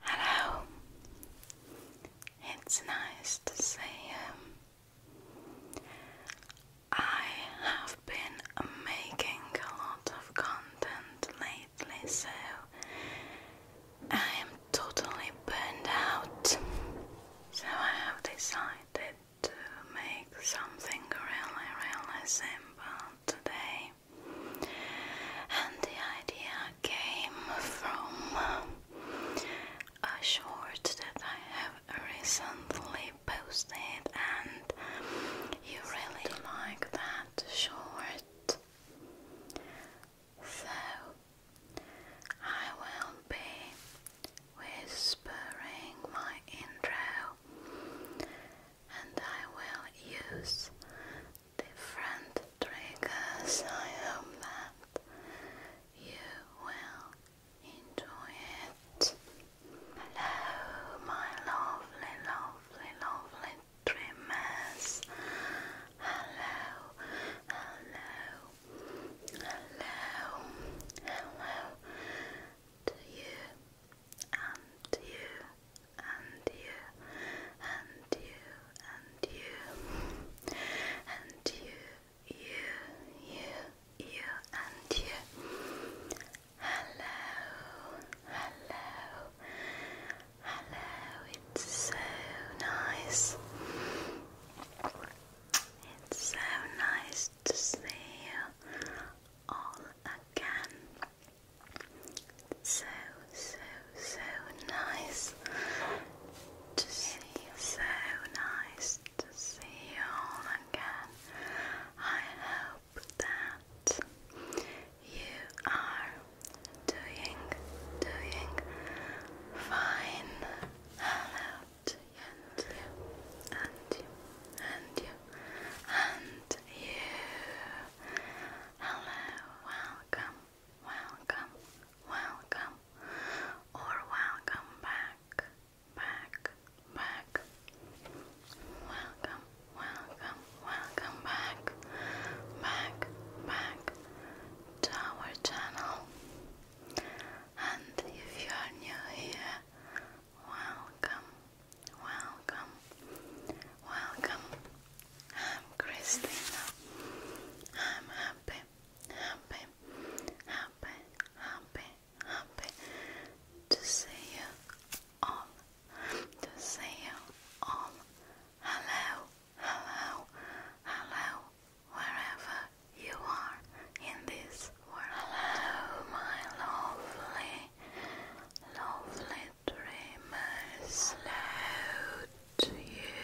Hello, it's nice to see you. I have been making a lot of content lately, so I am totally burned out. So I have decided to make something really, really simple today and the idea came from a short that I have recently posted, and you really like that short, so I will be whispering my intro. And I will use different triggers. I hope that you will enjoy it. Hello, my lovely, lovely, lovely dreamers. Hello, hello, hello, hello you and you and you, and you, and you, and you, you, you, you, and you. Hello, hello, hello. It's so nice. It's so nice to see you all again. So, so, so nice to see you. So nice to see you again. I hope that you are doing, doing fine. Hello and you and you and you and you. Hello, welcome, welcome, welcome, or welcome back, back, back. Welcome, welcome, welcome back, back, back to our channel. And if you are new here, welcome, welcome, welcome. I'm Christina. I'm happy, happy, happy, happy, happy to see you all. To see you all. Hello, hello, hello, wherever you are in this world. Hello, my lovely, lovely Dreamers loud to you,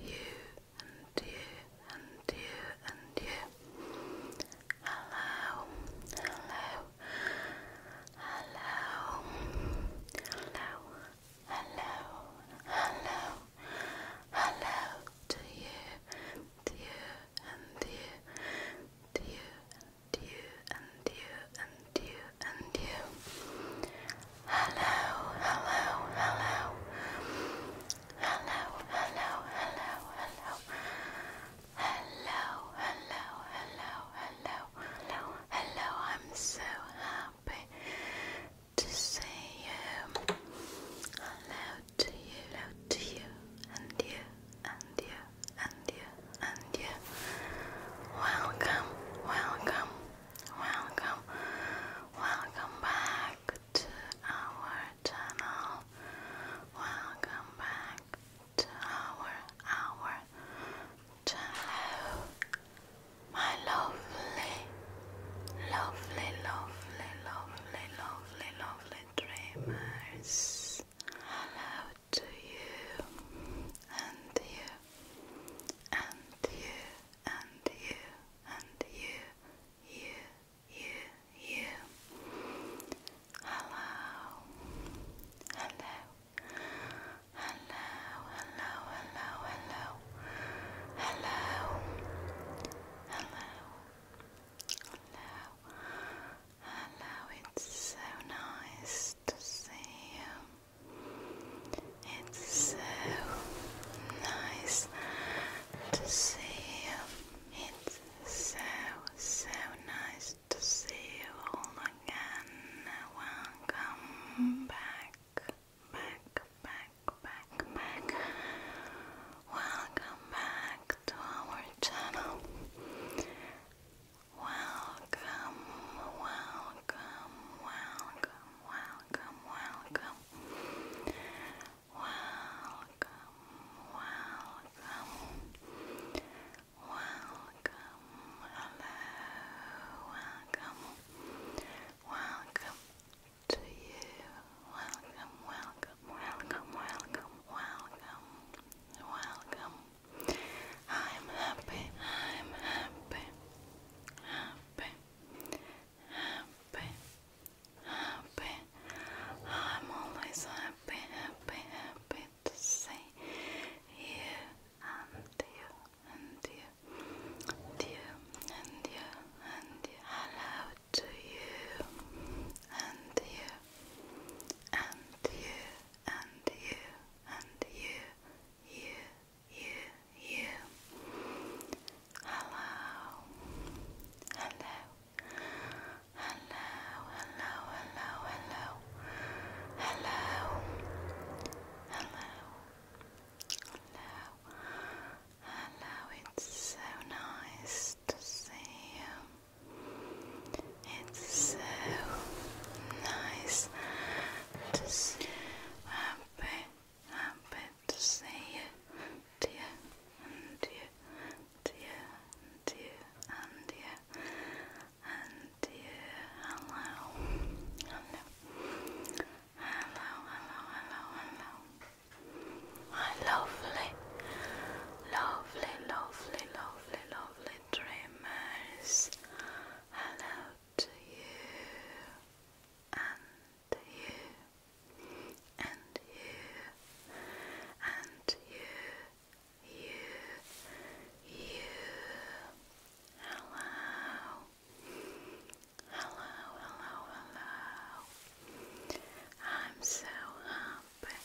you, and you, and you, and you. Hello, hello, hello, hello, hello, hello, hello to you, you, and you, you, you, and you, and you, and you. hello. Hello, hello, hello, hello. Hello, hello, hello, hello, hello, hello. I'm so happy to see you. Hello to you, hello to you, and you, and you, and you, and you. Welcome, welcome, welcome, welcome back to our channel. Welcome back to our our channel. My lovely, lovely, lovely, lovely, lovely, lovely dreamers. Hello to you, and you, and you, and you, and you, you, you, you. Hello, hello, hello, hello, hello, hello, hello, hello. it's so nice to see you. It's so nice to see you. It's so, so nice to see you all again. Welcome back, back, back, back, back. Welcome back to our channel. Welcome, welcome, welcome, welcome, welcome. Welcome, welcome. Welcome, welcome. Welcome to you. Welcome, welcome, welcome, welcome, welcome, welcome. I'm happy, I'm happy, happy, happy, happy. I'm always happy, happy, happy to see you and you and you and you and you and you. Hello to you and you and you and you. And you and you, you, you, you. Hello, hello, hello, hello, hello, hello, hello, hello, It's so nice to see you. It's so nice to see happy, happy to see you, dear, and dear, dear, and dear, and dear, and dear. Hello, hello, hello, hello, hello, lovely, lovely, lovely, lovely, lovely dreamers, hello to you, and you, and you, and you, you, you. Hello, hello, hello, hello. I'm so happy.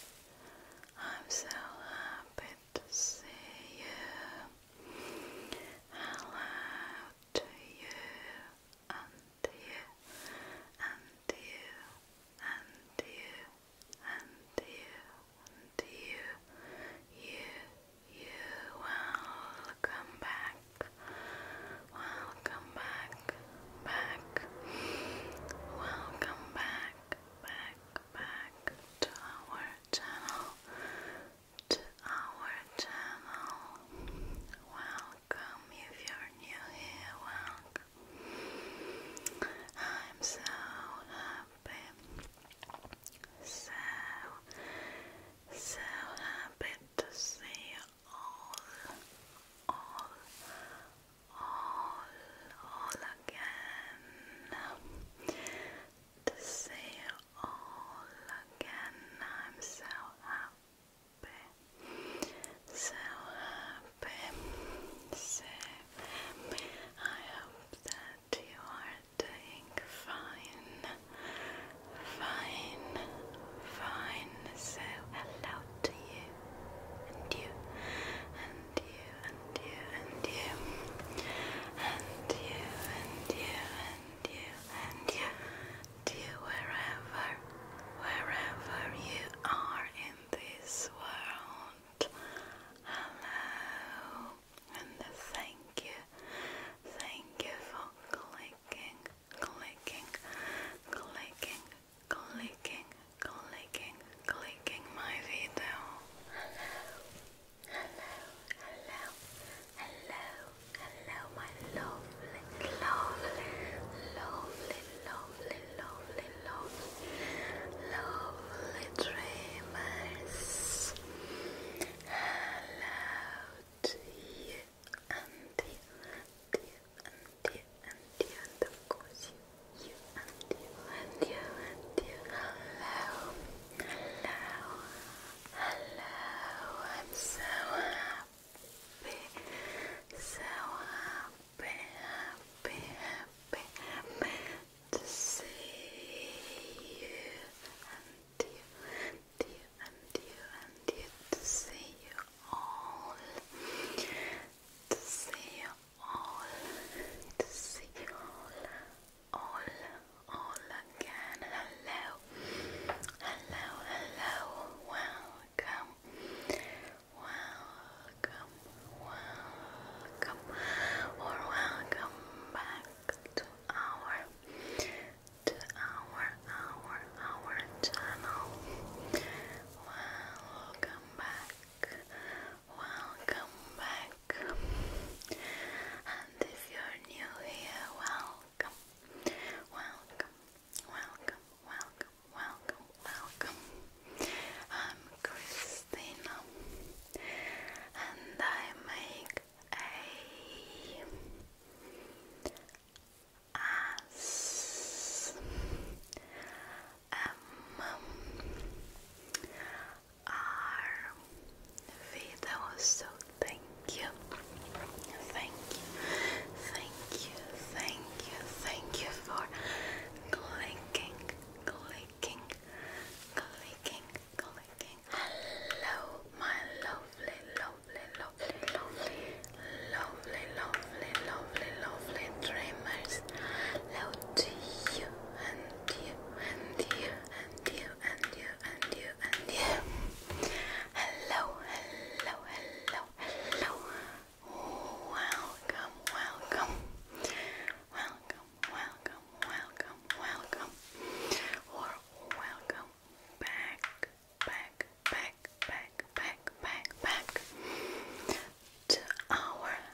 I'm so happy to say you. Hello to you and you and you and you and you and you. You, you, welcome back. Welcome back, back. Welcome back, back, back to our channel, to our channel. Welcome if you're new here, I'm so happy, so, so happy to see all, all, all, again. To see you all again, I'm so happy, so happy, so I hope that you are doing fine, fine, fine. So hello to you and you and you, and you, and you, and you, and you, and you, and you, and you, wherever, wherever you are in this world. Hello, and thank you, thank you for clicking, clicking, clicking, clicking clicking, clicking my video. Hello, hello, hello, hello, my lovely, lovely, lovely, lovely, lovely, lovely, dreamers. Hello to you and you and you and you and of course you and you and you and you. Hello, hello, hello. I'm so happy, so happy, happy, happy, to see you and you you and you and you to see you all, to see you all to see you all, all, all again. Hello, hello, hello. Welcome, welcome, welcome, or welcome back to our, to our, our, our channel. Welcome back. Welcome back. And if you're new here, welcome. Welcome. Welcome. Welcome. Welcome. Welcome. I'm Christina and I make a um, our video. So thank you, thank you, thank you, thank you, thank you for clicking, clicking, clicking, clicking. Hello, my lovely, lovely, lovely, lovely, lovely, lovely, lovely lovely, lovely dreamers. Love to you and you and you and you and you and you Hello, hello, hello, hello. Welcome, welcome. Welcome, welcome, welcome, welcome. welcome back, back, back, back, back, back, back to our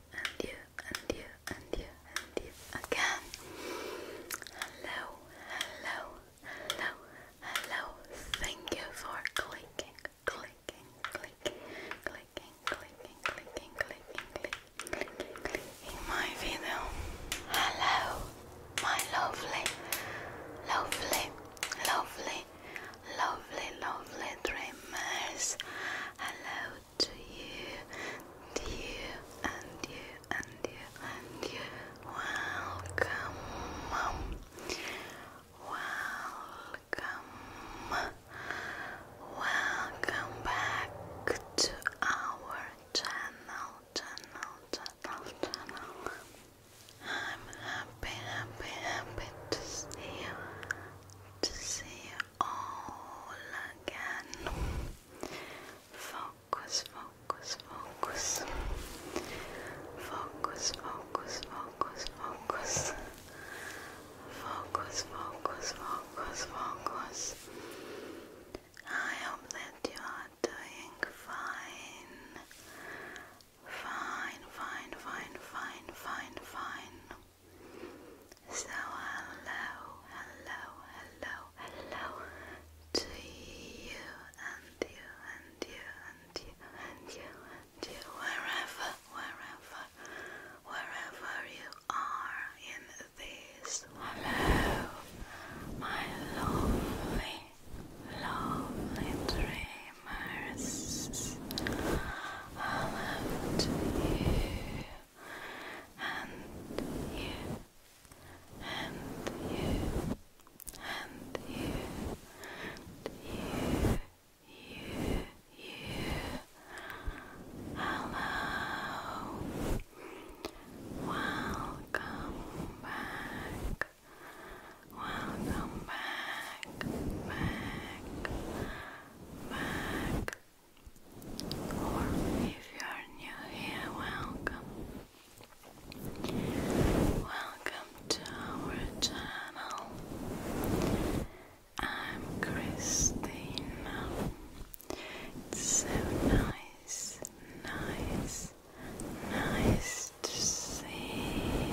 and you and you and you and you again. Hello, hello, hello, hello. Thank you for clicking, clicking, clicking, clicking, clicking, clicking, clicking, clicking, clicking in my video. Hello, my lovely, lovely, lovely, lovely, lovely dreamers. Hello to you, and and you, and you, and you. Welcome, welcome, welcome back to our channel, channel, channel, channel. I'm happy, happy, happy to see you, to see you all again. Focus, focus, focus. Focus, focus, focus, focus. Focus, focus, focus, focus. I hope that you are doing fine. Fine, fine, fine, fine, fine, fine. So hello, hello, hello, hello to you and you and you and you and you and you wherever, wherever, wherever you are in this. Hello, my lovely, lovely dreamers. Hello to you and you, and you, and you, you, you, you. Hello, welcome back. Welcome back, back, back, or if you are new here, welcome. Welcome to our channel. I'm Christina. It's so nice, nice, nice to see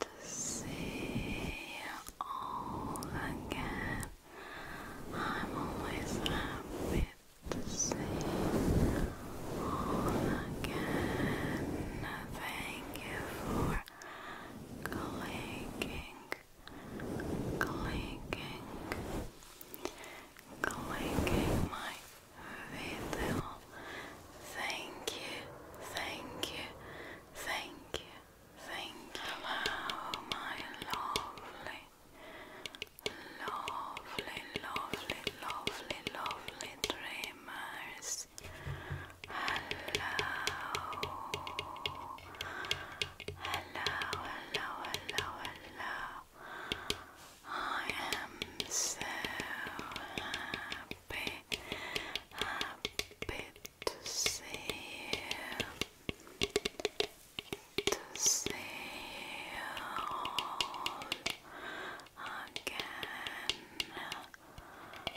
to see you all again. I'm always happy to see you again. Thank you for clicking, clicking, clicking my video. Thank you, thank you, thank you. Think hello, my lovely, lovely, lovely, lovely, lovely dreamers. Hello, hello, hello, hello, hello. I am so happy, happy see, to see all again. Welcome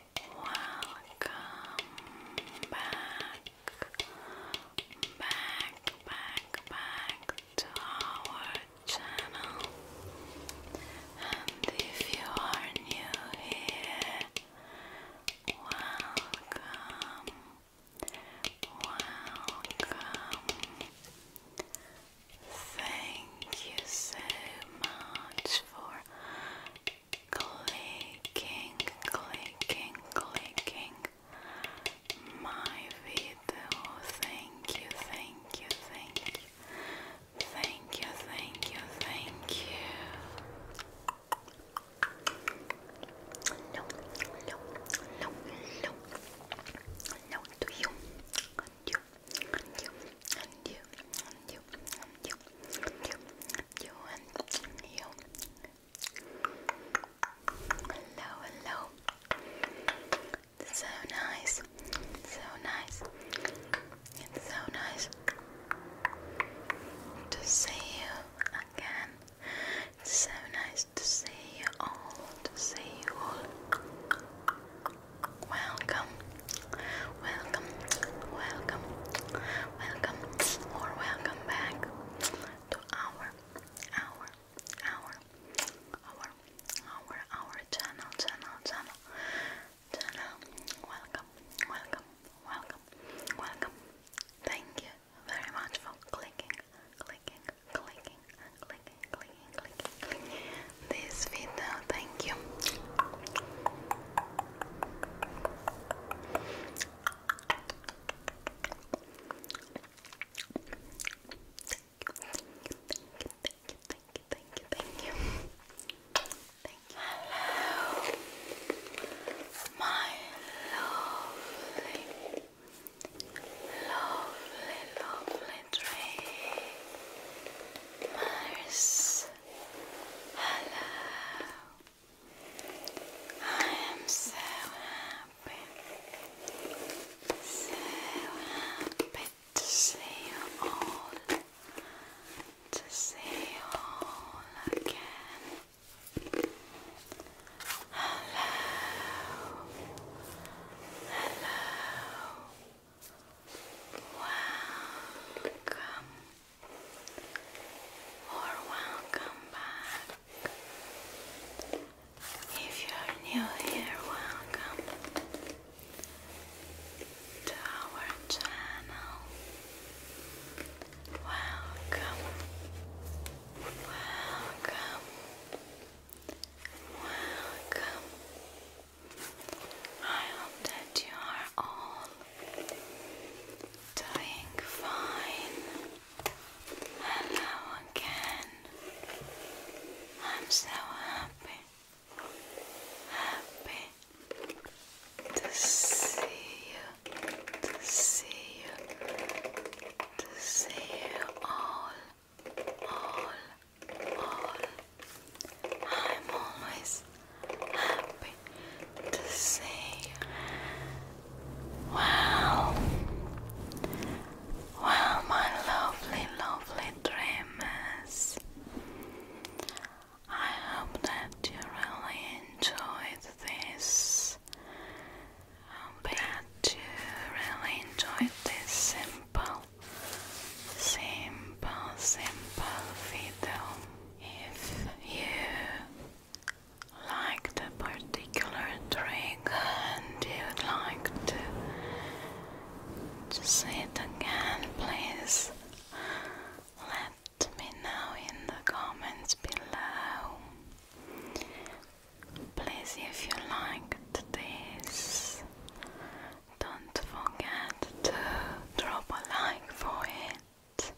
back, back, back, back to our channel. And if you are new here, welcome, welcome. Thank you so much for clicking, clicking, clicking my video. Thank you, thank you, thank you. Thank you, thank you, thank you. No, no, no, no, no to you, and you, and you, and you, and you, and you, and you, and you, and you. Hello, hello. So nice, so nice. It's so nice to see you again. It's so nice to see you all, to see you all. Welcome, welcome, welcome, welcome, or welcome back to our, our, our, our, our, our channel, channel, channel. Jenna, welcome, welcome, welcome, welcome. Thank you very much for clicking, clicking, clicking, clicking, clicking, clicking, clicking this video. Thank you. Thank you, thank you, thank you, thank you, thank you, thank you. Hello, my lovely, lovely, lovely dreamers. Hello. I am so happy, so happy to see you all to see you again. Hello, hello, welcome or welcome back. If you're new here, welcome to our channel. Welcome, welcome, welcome. I hope that you are all doing fine. Hello again. I'm so happy, happy, to see you, to see you, to see you all, all, all. I'm always happy to see you. Wow. Well, my lovely, lovely dreamers, I hope that you really enjoyed this. I hope that you really enjoyed this simple, simple, simple video. If you liked a particular trick and you'd like to see it again, please let to me now in the comments below. Please, if you liked this, don't forget to drop a like for it.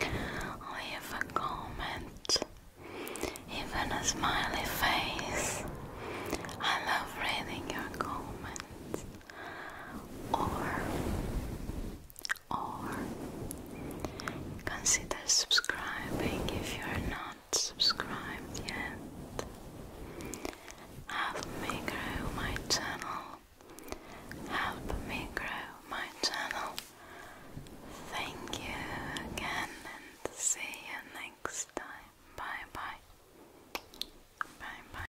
Leave a comment, even a smiley face. I love reading your comments or or consider subscribing if you are not subscribed yet. Help me grow my channel. Help me grow my channel. Thank you again and see you next time. Bye bye. Bye bye.